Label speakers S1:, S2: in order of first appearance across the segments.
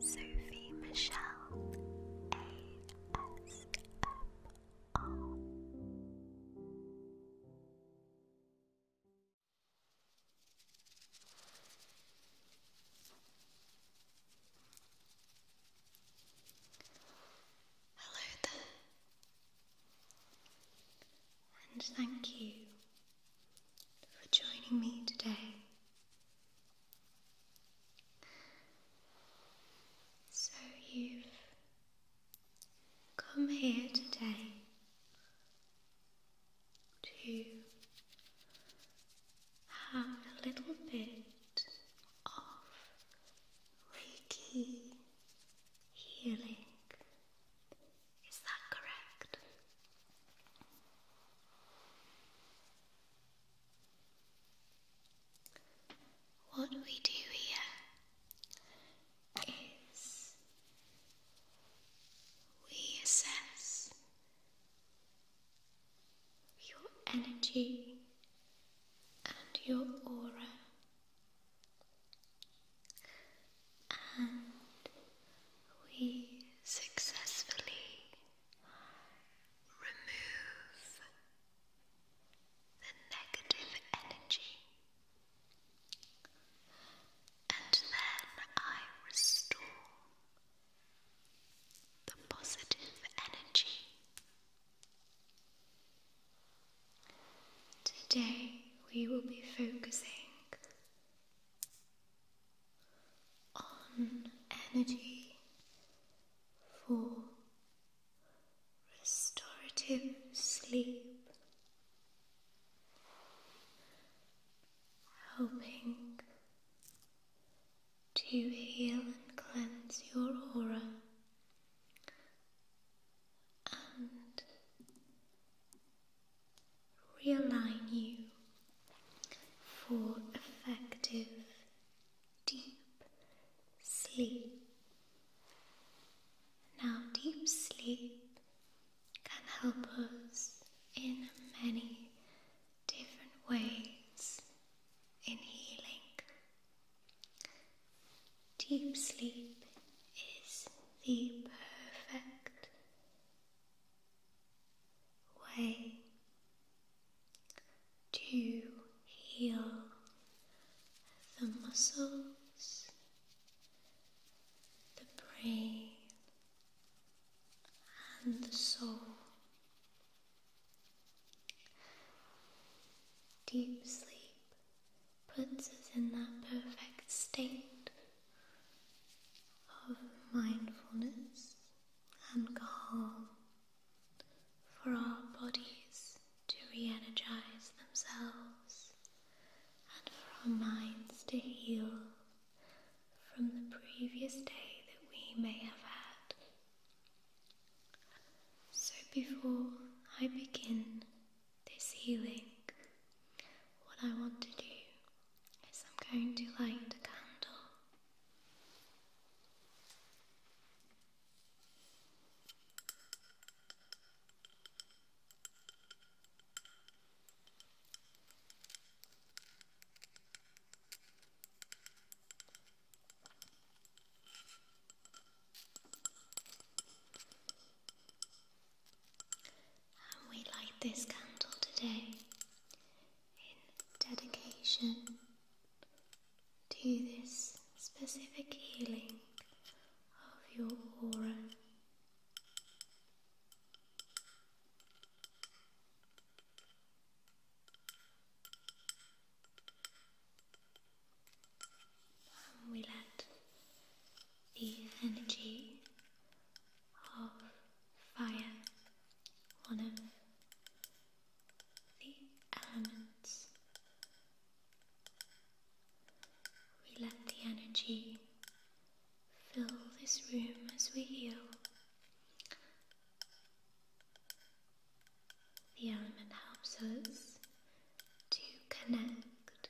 S1: Sophie Michelle ASMR. Hello there, and thank you for joining me today. So, you've come here today to have a little bit of Reiki healing. Is that correct? What we do here is we assess your energy and your aura. And we successfully remove the negative energy, and then I restore the positive energy. Today we will be focusing on energy for restorative sleep, helping to heal and cleanse your aura. And realign you for effective deep sleep. Now, deep sleep can help us in many different ways in healing. Deep sleep is the perfect way to heal the muscles, the brain, and the soul. Deep sleep puts us in that perfect state of mindfulness and for our bodies to re energize themselves and for our minds to heal from the previous day that we may have had. So, before I begin this healing, what I want to do I'm going to light a candle. And we light this candle today in dedication to this specific healing of your aura. we let the energy of fire one of the elements. We let the energy fill this room as we heal. The element helps us to connect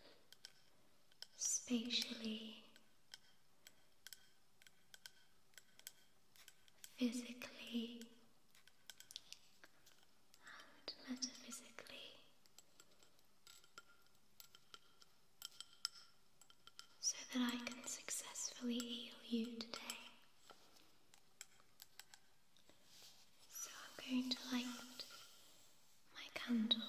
S1: spatially physically and metaphysically, so that I can successfully heal you today. So I'm going to light my candle.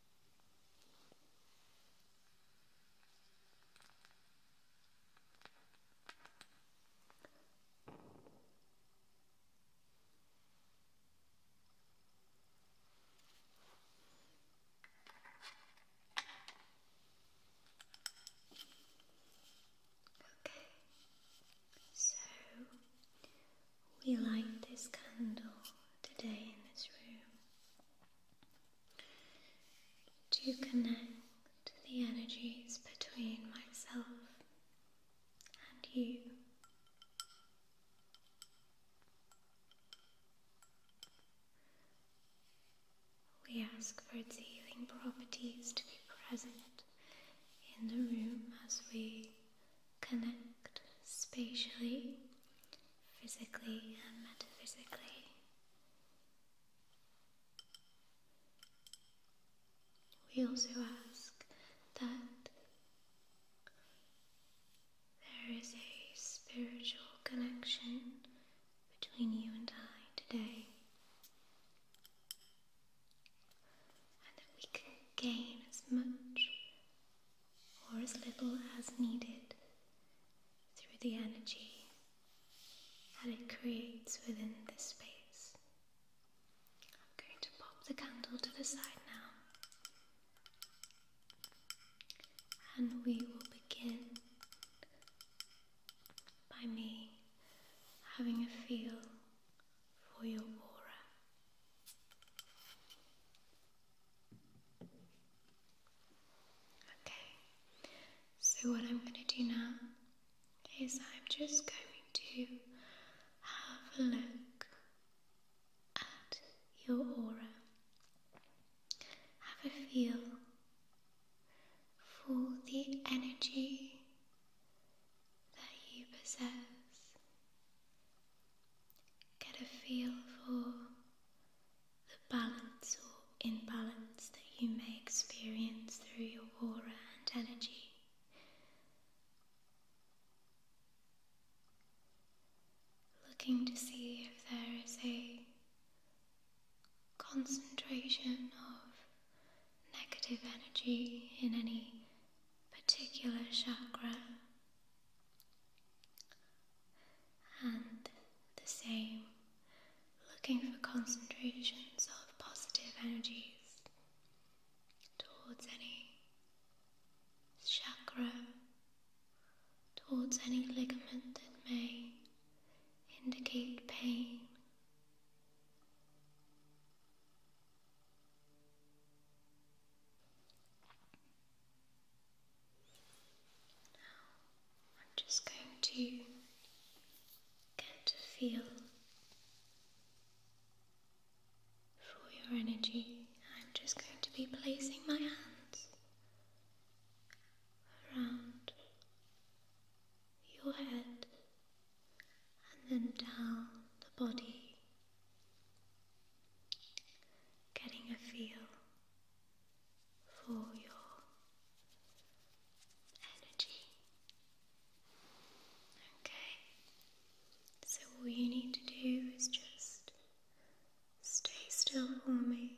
S1: Okay, so we light this candle today in this room to connect the energies between myself and you. We ask for healing properties to be present in the room as we connect spatially physically and metaphysically. We also ask that there is a spiritual connection between you and I today, and that we can gain as much or as little as needed through the energy that it creates within the space. I'm going to pop the candle to the side now and we will begin by me having a feel for your aura. Okay, so what I'm going to do now is I'm just going to have a look at your aura. Have a feel for the energy that you possess. Get a feel for the balance or imbalance that you may experience through your aura and energy. Looking to see if there is a concentration of negative energy in any particular chakra and the same, looking for concentrations of positive energies towards any chakra, towards any ligament that may indicate pain. Now I'm just going to get a feel for your energy. I'm just going to be placing my hands around your head and then down the body, getting a feel for your energy. Okay, so all you need to do is just stay still for me.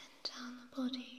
S1: and then down the body.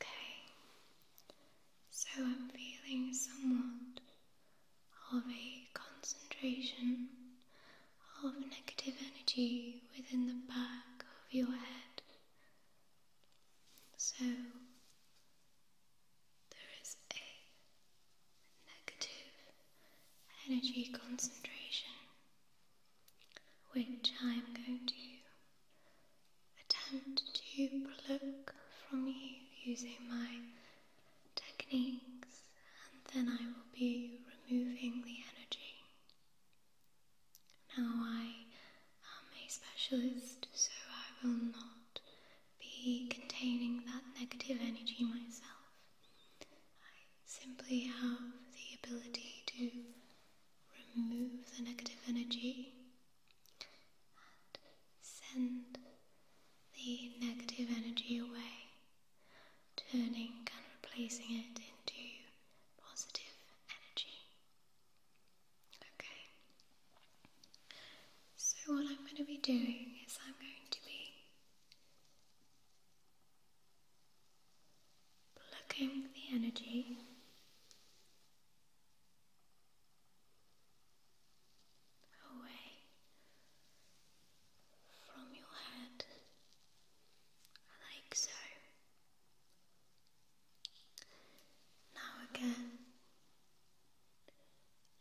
S1: Okay, so I'm feeling somewhat of a concentration of negative energy within the back of your head. So there is a negative energy concentration which I am going to attempt to pluck from you using my techniques and then I will be removing the energy. Now I am a specialist so I will not be containing that negative energy myself. I simply have the ability to remove the negative energy and send the negative energy away, turning and replacing it into positive energy. Okay. So, what I'm going to be doing is I'm going to be plucking the energy away from your head, like so. Now, again,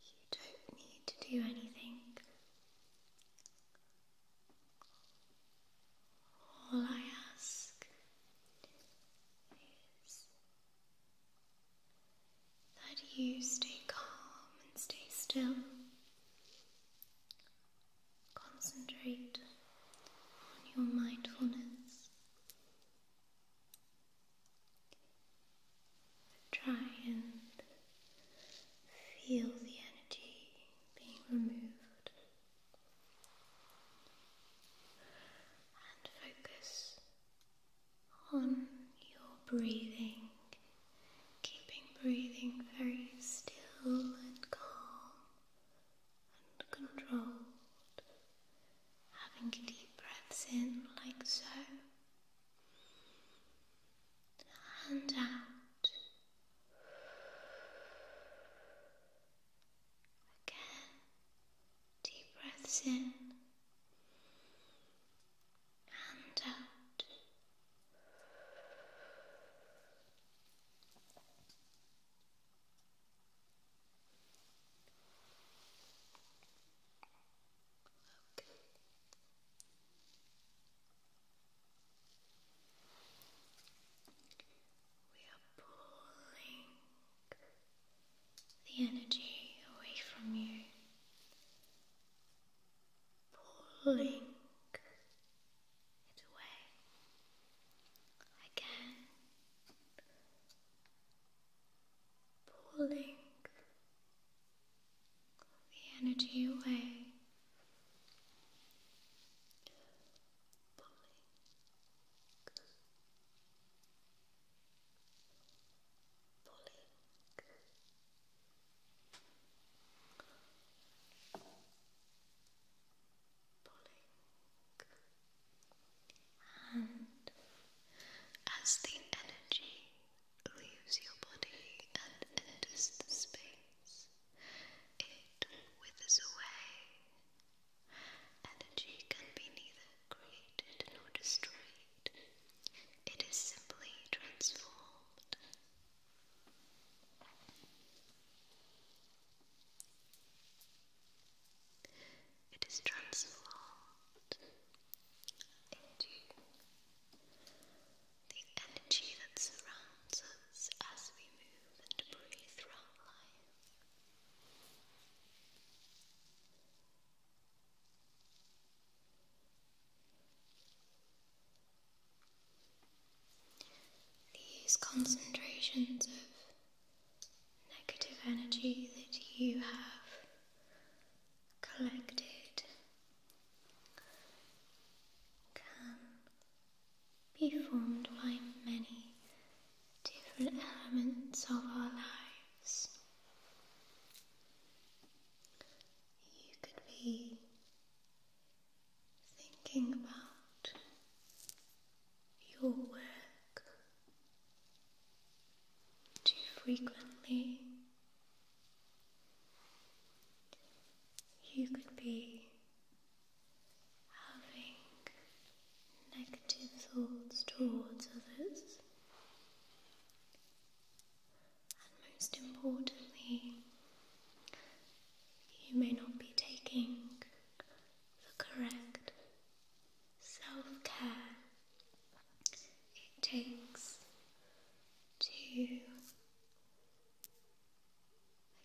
S1: you don't need to do anything. All I ask is that you stay calm and stay still. Concentrate on your mindfulness Try and feel the energy being removed and focus on your breathing, keeping breathing very still and calm and controlled having deep breaths in like so, and out again, deep breaths in and out. We are pulling the energy away from you, pulling it away again pulling the energy away, pulling. Pulling pulling and as the energy leaves your body and enters the space, it withers away. Energy can be neither created nor destroyed, it is simply transformed it is transformed into the energy that surrounds us as we move and breathe throughout life. These concentrations of negative energy that you have collected can be formed by many different elements of our lives. You could be thinking about your work too frequently, you could be having negative thoughts towards others, and most importantly, you may not be taking the correct self care it takes to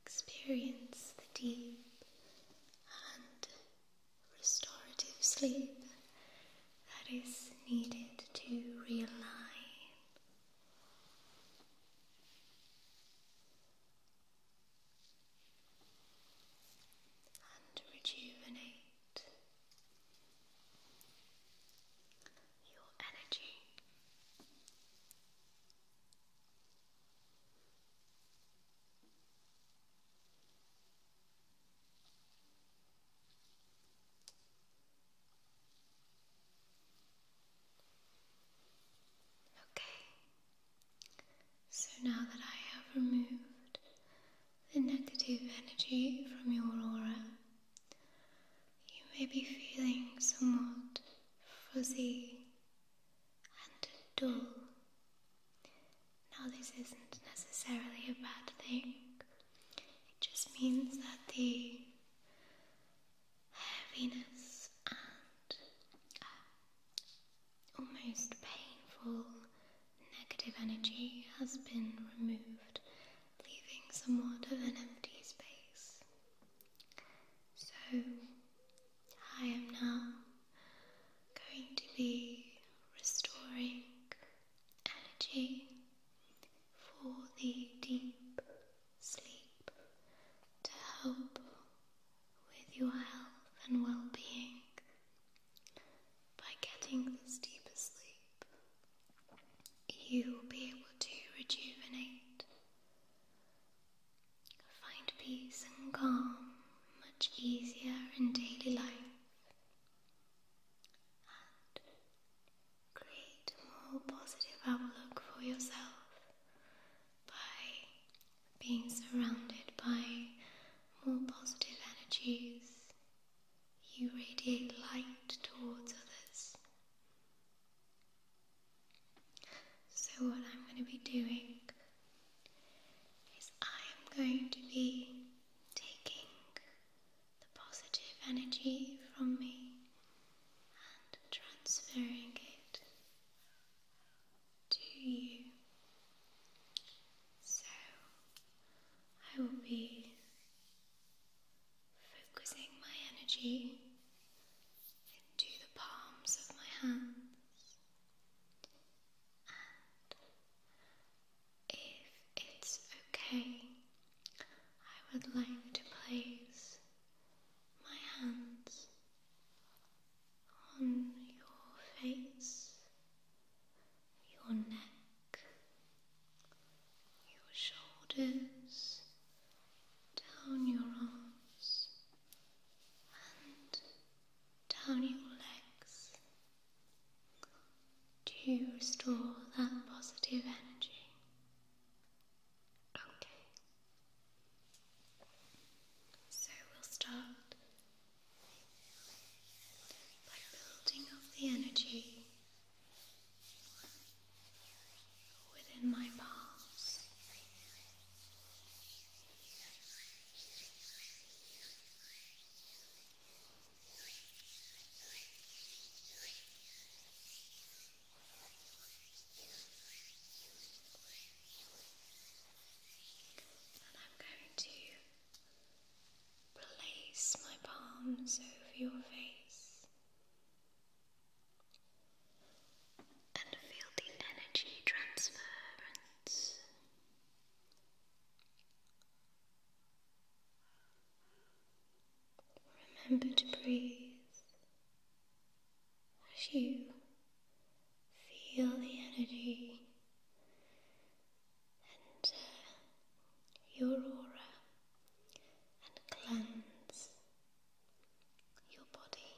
S1: experience the deep and restorative sleep that is needed to realign. And rejuvenate your energy. Okay, so now that I have removed the negative energy from your aura. You may be feeling somewhat fuzzy and dull. Now, this isn't necessarily a bad thing, it just means that the heaviness and uh, almost painful negative energy has been removed, leaving somewhat of an empty space. So, I am now going to be restoring energy for the deep sleep to help with your health and well being. By getting this deep sleep, you will be able to rejuvenate, find peace and calm much easier in daily life, and create a more positive outlook for yourself by being surrounded by more positive energies you radiate light towards others. So, what I'm going to be doing is I am going to be taking the positive energy from me and transferring it to you. So I will be focusing my energy into the palms of my hands. And if it's okay, I would like to place my hands on your face your neck, your shoulders, down your arms, and down your legs to restore that positive energy. Okay. So we'll start by building up the energy within my palms. And I'm going to Place my palms over your face and feel the energy transference. Remember to breathe as you feel the energy and uh, your aura and cleanse your body.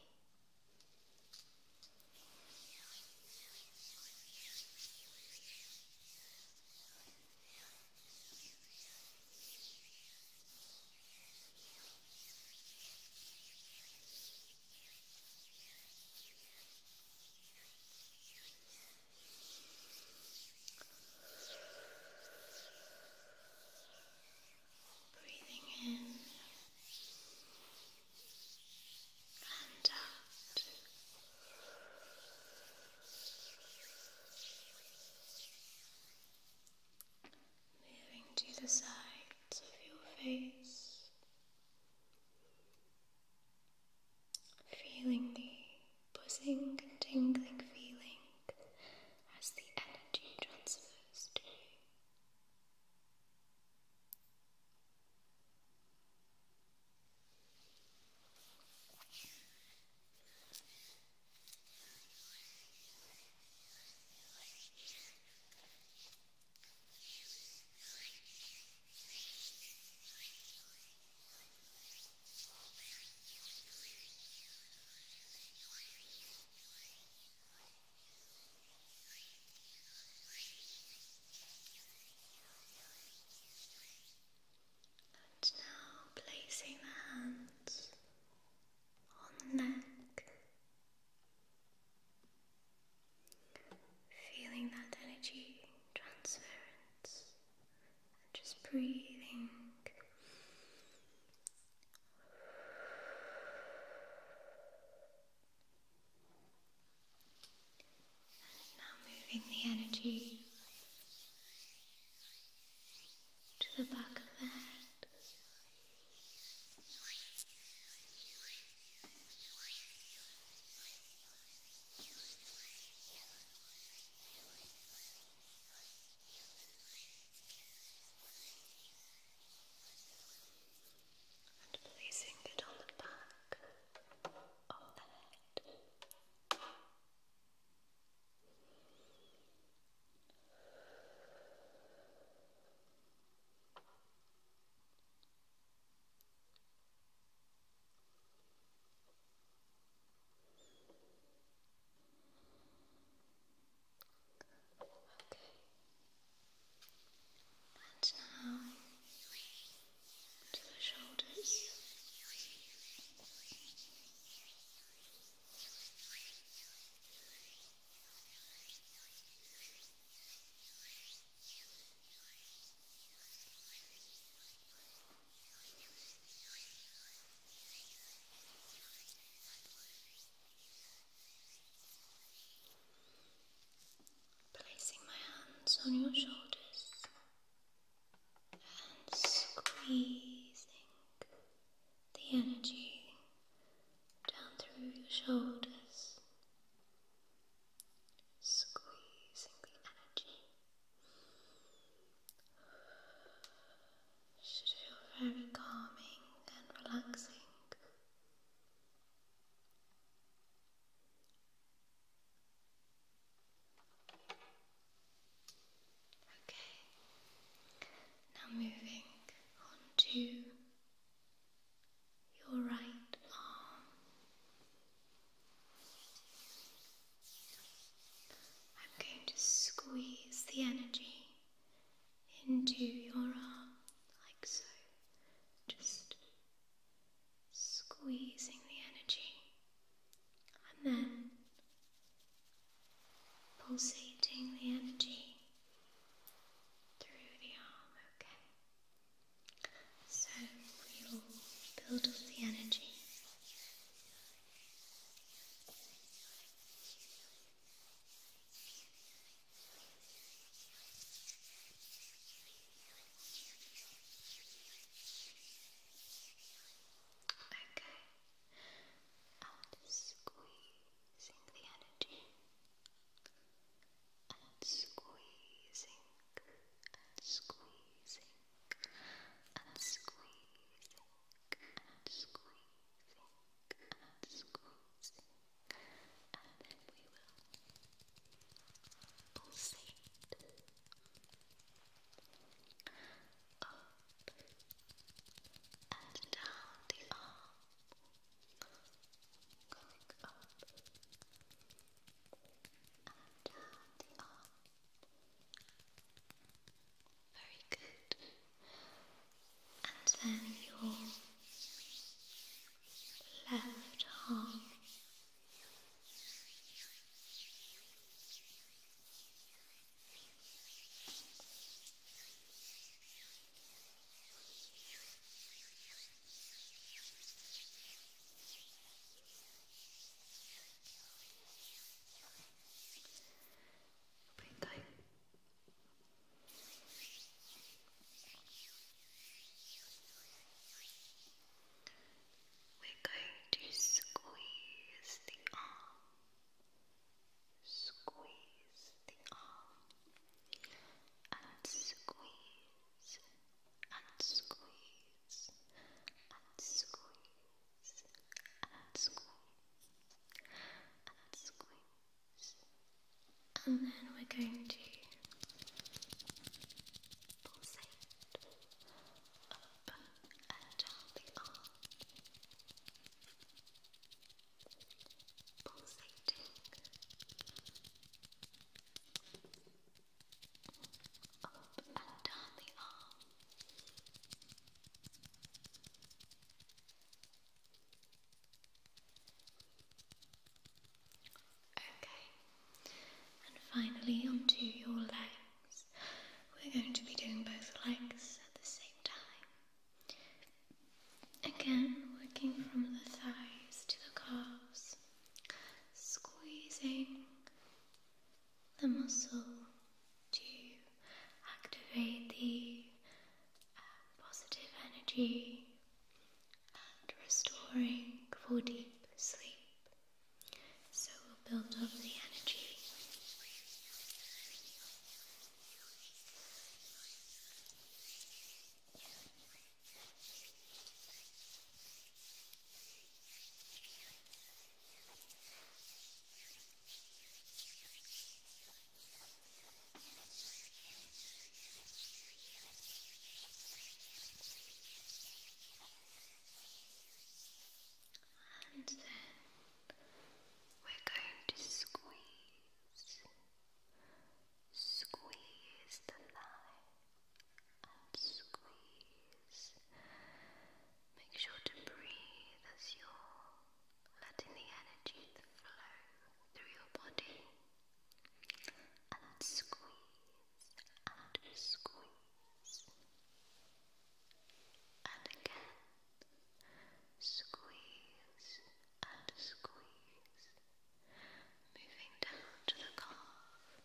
S1: Breathing in and out. Moving to the sides of your face. Feeling the buzzing tingling feeling as the energy transfers to you. And now placing the hands on the neck, feeling that energy transference just breathing. And now moving the energy to the back of the head. And placing it on the back of the head. Okay. And now to the shoulders. Placing my hands on your shoulders and squeezing the energy down through your shoulders squeezing the energy should feel very calming and relaxing. Okay, now moving on to your right arm. I'm going to squeeze the energy into your arm like so. Just squeezing the energy and then pulsating the energy through the arm, okay? So we will build up the energy. Okay, i squeezing the energy and squeezing and squeezing and squeezing and squeezing and squeezing and then we will pulsate up and down the arm going up and down the arm very good. And then your left arm. Bem tight. We're going to squeeze the arm, squeeze the arm, and squeeze and squeeze and then we're going to pulsate up and down the arm. Pulsating, and Okay, and finally onto your legs. We're going to be doing both legs at the same time. Again, working from the thighs to the calves, squeezing the muscle to activate the um, positive energy and restoring for deep sleep. So we'll build up the energy. And then we're going to squeeze, squeeze the thigh and squeeze. Make sure to breathe as you're letting the energy flow through your body. And squeeze and squeeze. And again, squeeze and squeeze. Moving down to the calf,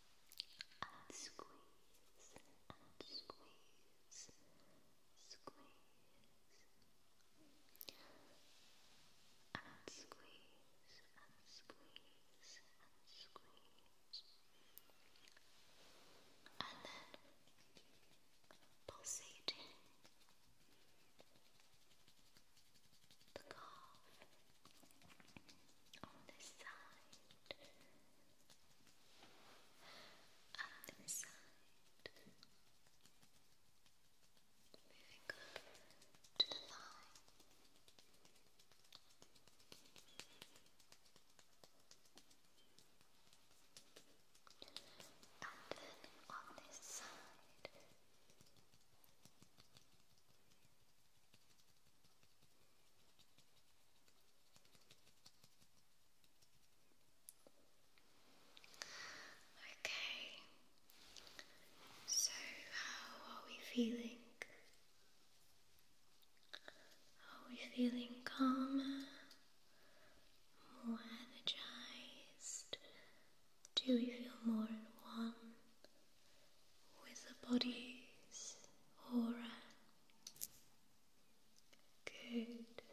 S1: and squeeze and squeeze, squeeze and squeeze and squeeze and squeeze and then pulsating the calf on this side other side. Moving to the thigh. And then on this side. Okay, so how are we feeling? Are we feeling calmer, more energized? Do we feel more in one with the bodies or? Good.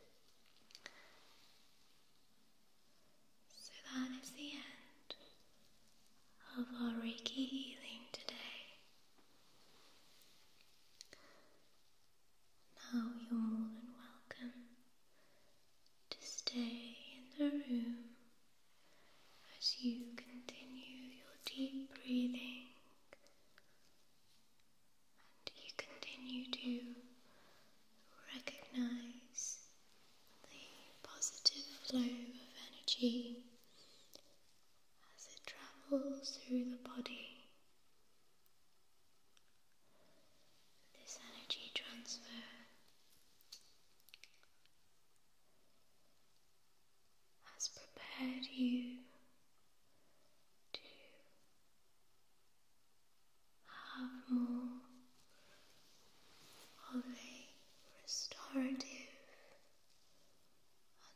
S1: So that is the end of our Reiki healing today. Now you're more than welcome to stay in the room as you continue your deep breathing and you continue to recognize the positive flow of energy as it travels through the body. This energy transfer has prepared you to have more of a restorative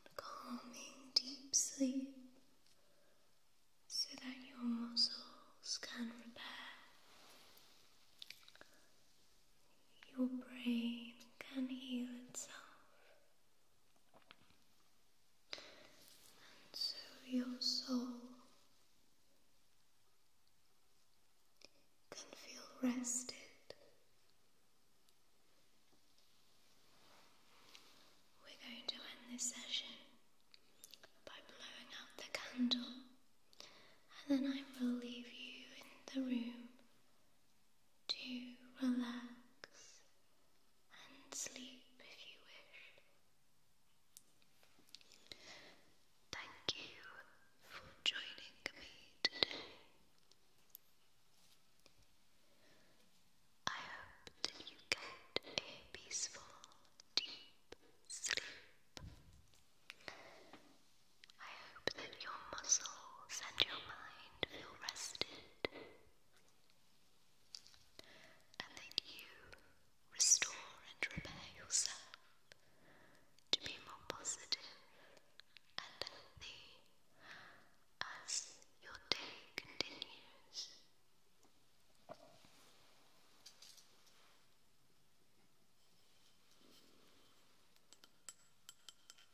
S1: and calming deep sleep so that your muscles can repair your brain can heal itself, and so your soul can feel rested. We're going to end this session by blowing out the candle, and then I will leave you in the room to relax and sleep if you wish. Thank you for joining me today. I hope that you get a peaceful, deep sleep. I hope that your muscles and your mind mind feel rested, and then you restore and repair yourself to be more positive and healthy as your day continues.